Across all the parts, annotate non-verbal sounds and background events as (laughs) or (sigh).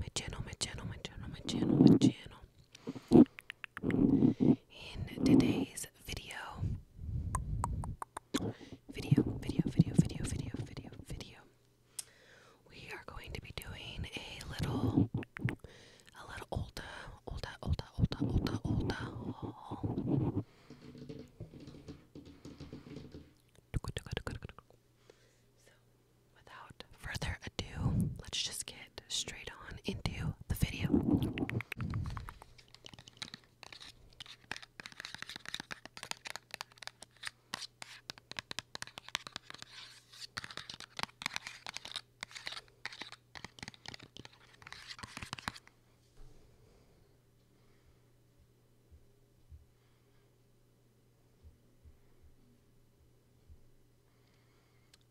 my channel, my channel, my channel, my channel, my channel. In today's video, video, video, video, video, video, video, we are going to be doing a little, a little older, older, older, older, older, older without further ado, let's just get straight on into the video.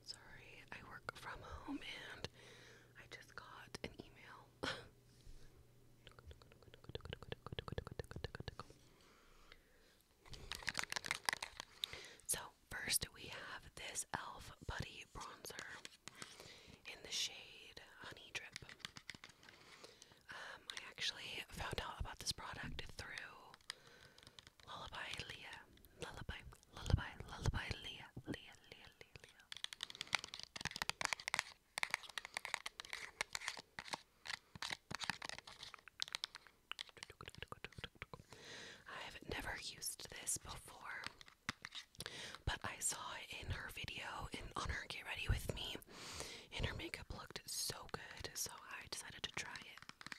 Sorry, I work from home and I just got an email. so, first we have this e.l.f. Buddy Bronzer in the shade Honey Drip. Um, I actually found out about this product through Lullaby Leah. Lullaby, lullaby, lullaby Leah. Leah, Leah, Leah, Leah. I've never used this before, but I saw it in her video in on her Get Ready With Me, and her makeup looked so good, so I decided to try it.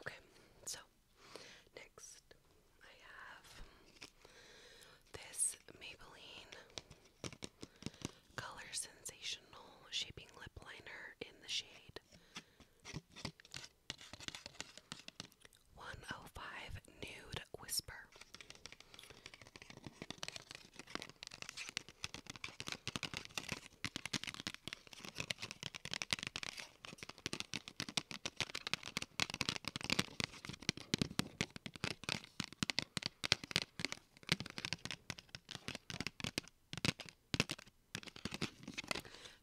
Okay, so next I have this Maybelline Color Sensational Shaping Lip Liner in the shade 105 Nude Whisper.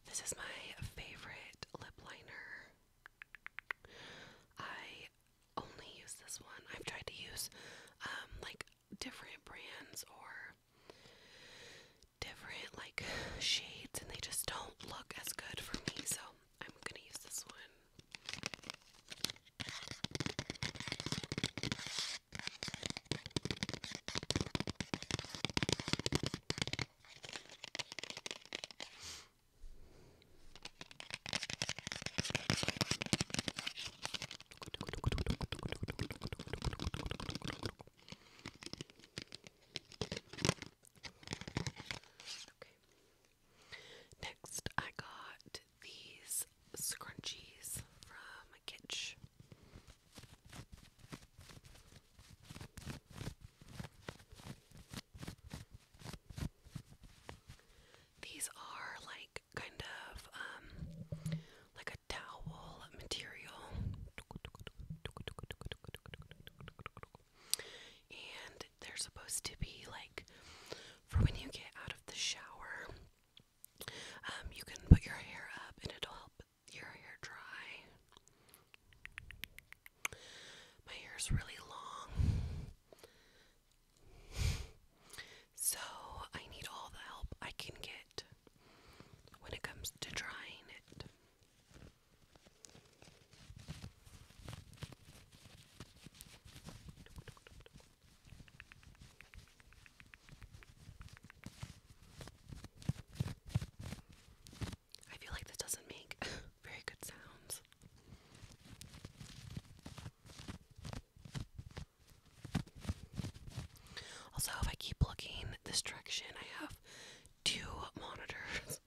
This is my favorite lip liner. I only use this one. I've tried to use um, like different brands or different like shades and they just don't look as good for me, so I'm going to use this one. Okay. Next, I got these scrunchies from Kitsch. These are like kind of um like a towel material and they're supposed to be like for when you get out of the shower um you can put your hair up and it'll help your hair dry. My hair is really long. So I need all the help I can get when it comes to drying it. I feel like that doesn't make (laughs) very good sounds. Also, if I keep looking this direction, I have two monitors.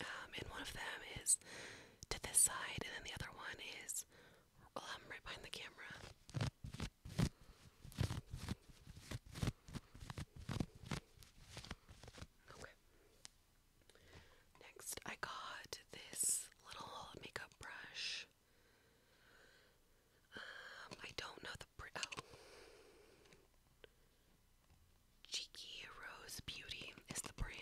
Um, and one of them is to this side, and then the other one is I'm right behind the camera. Okay. Next, I got this little makeup brush. Um, I don't know the oh. Cheeky Rose Beauty is the brand.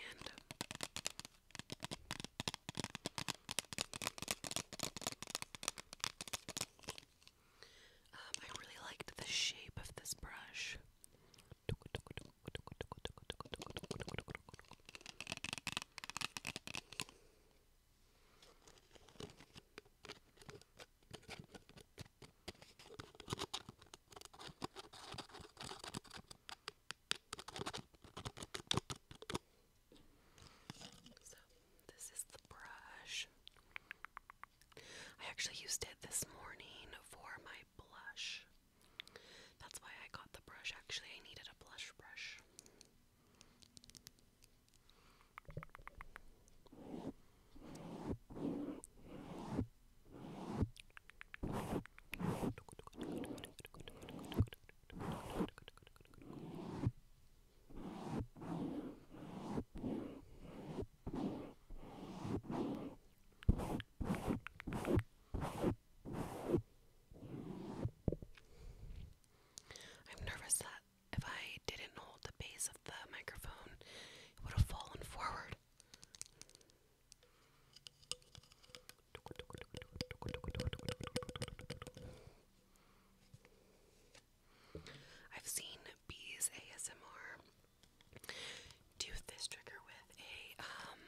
Um, I really liked the shape of this brush. So, this is the brush. I actually used it this morning for my blush. That's why I got the brush. Actually, I needed a blush brush. (laughs) I'm nervous that if I didn't hold the base of the microphone, it would have fallen forward. I've seen bees ASMR do this trigger with a um,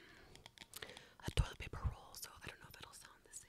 a toilet paper roll, so I don't know if it'll sound the same.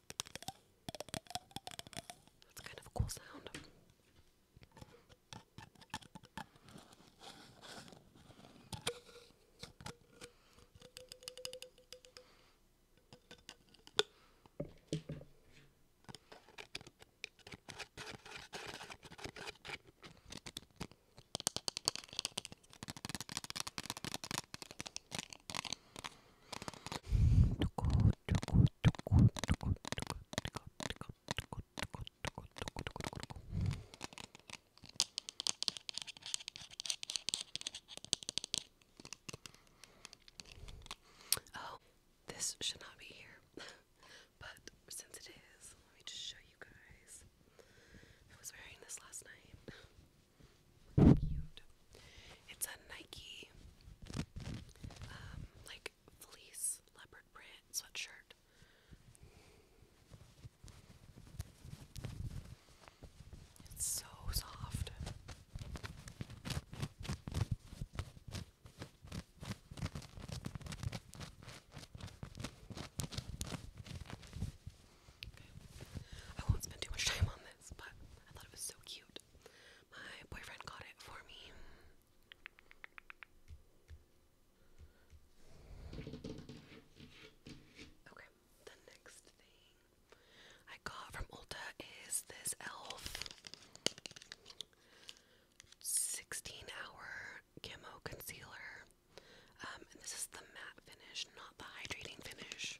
That's kind of a cool sound. Oh, this should not be here, (laughs) but since it is, let me just show you guys. I was wearing this last night. It's a Nike, um, like fleece leopard print sweatshirt. It's so soft. I won't spend too much time on this, but I thought it was so cute. My boyfriend got it for me. Okay, the next thing I got from Ulta is this e.l.f. 16 hour camo concealer. Um, and this is the matte finish, not the hydrating finish.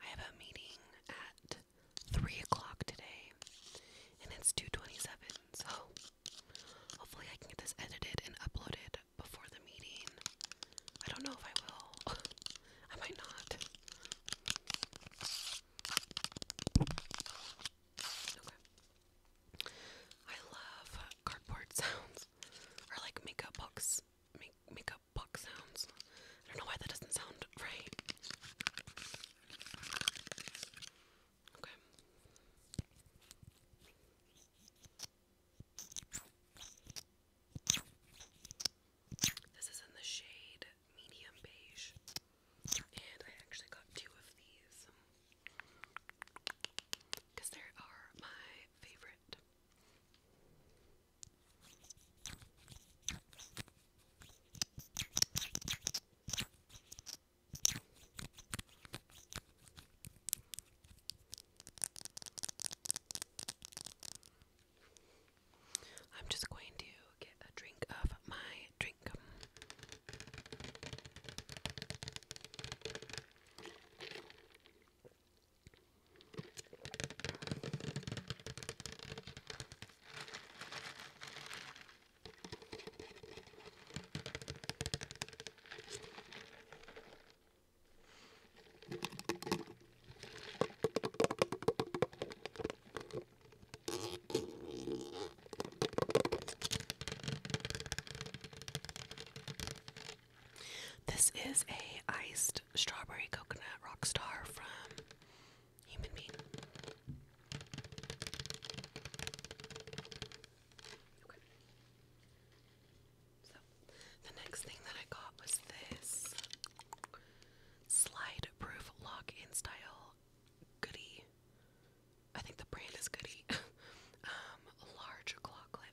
I have a meeting at three o'clock today, and it's two twenty-seven. So hopefully I can get this edited and uploaded before the meeting. I don't know if I will. (laughs) I might not. I love cardboard (laughs) sounds or like makeup box makeup box sounds. I don't know why that doesn't sound right. Okay. This is in the shade medium beige, and I actually got two of these because they are my favorite. I'm just going to get a drink of my drink. This is a iced strawberry coconut rock star from the next thing that I got was this slide proof lock in style goodie. I think the brand is goodie. (laughs) Um, large claw clip.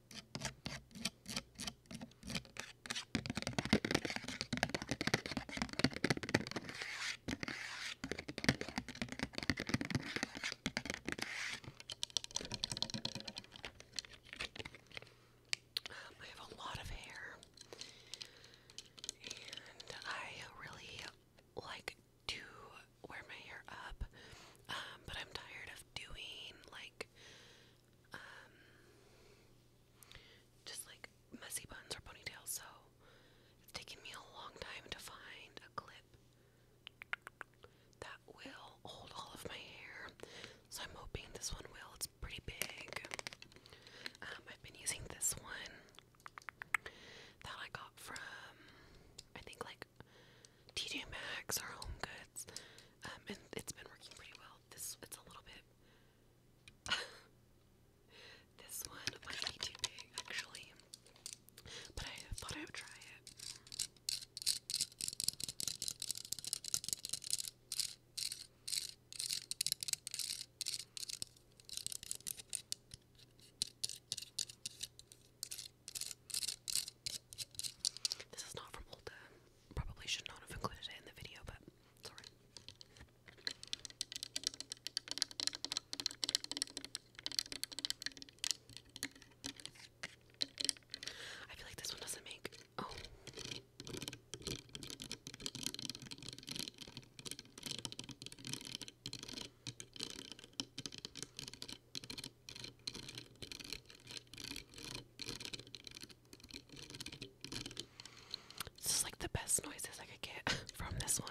Um, I have a lot of hair, and I really like to wear my hair up, um, but I'm tired of doing like um, just like messy buns or ponytails. So it's taken me a long time to find a clip that will hold all of my hair. So I'm hoping this one will. It's pretty big. Um, I've been using this one that I got from I think like TJ Maxx or Home Goods. Um, and it's been working pretty well. This it's a little bit. (laughs) this one might be too big actually, but I thought I would try it. This is not from Ulta. Probably should not have included it in the video, but sorry. I feel like this one doesn't make. Oh. This is like the best noises I could get (laughs) from this one.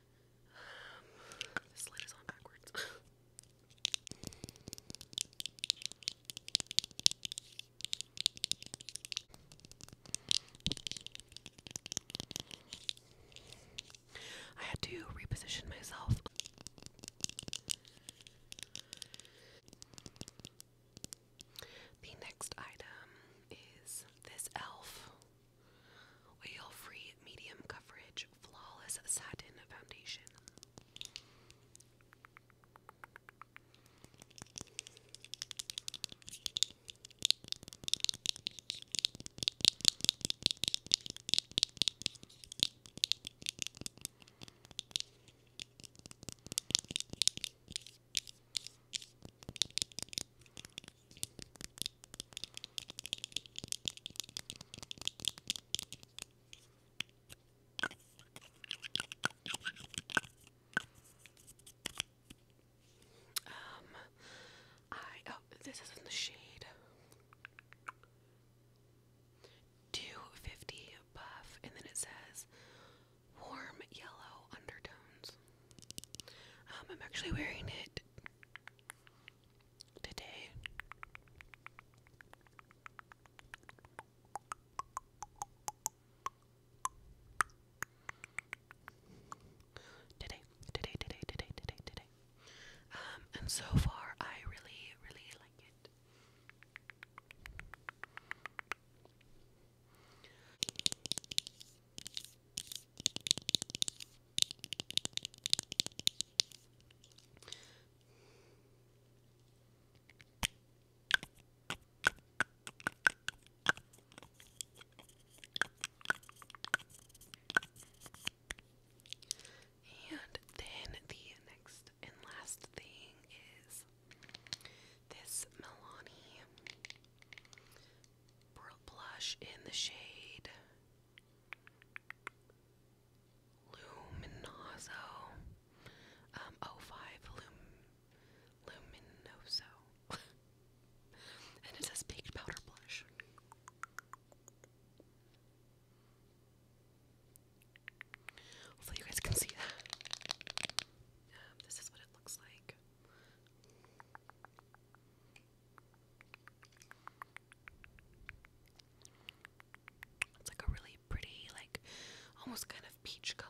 this lid is on backwards. I had to reposition myself. The next item is this e.l.f. oil free medium coverage Vintage Flawless Satin Foundation. Um, I oh, this is in the shade 250 buff, and then it says warm yellow undertones. Um, I'm actually wearing it today. Today, today, today, today, today, today. Um, and so far, I really, really like it. And then the next and last thing is this Milani blush in the shade Luminoso. Um, oh, Lum Luminoso. (laughs) and it says baked powder blush. Hopefully, you guys can see um, this is what it looks like. It's like a really pretty, like almost kind of peach color.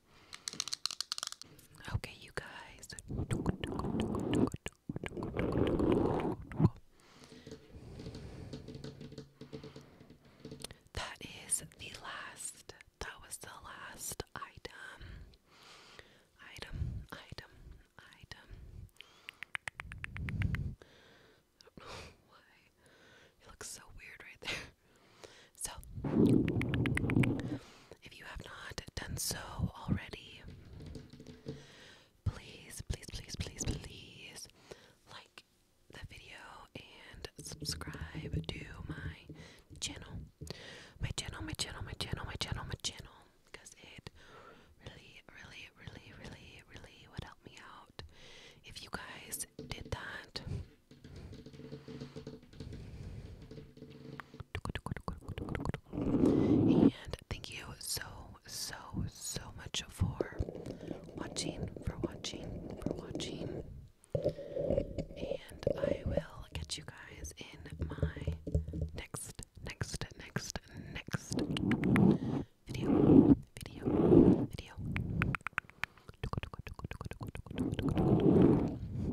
Okay, you guys. That is the last. That was the last item. Item, item, item. (laughs) It looks so weird right there. So, if you have not done so already, please, please, please, please, please like the video and subscribe to my channel. My channel, my channel, my channel, my channel, my channel. Because it really, really, really, really, really would help me out if you guys did that. And thank you so, so, so much for watching, for watching, for watching. And I will get you guys in my next, next, next, next video, video, video.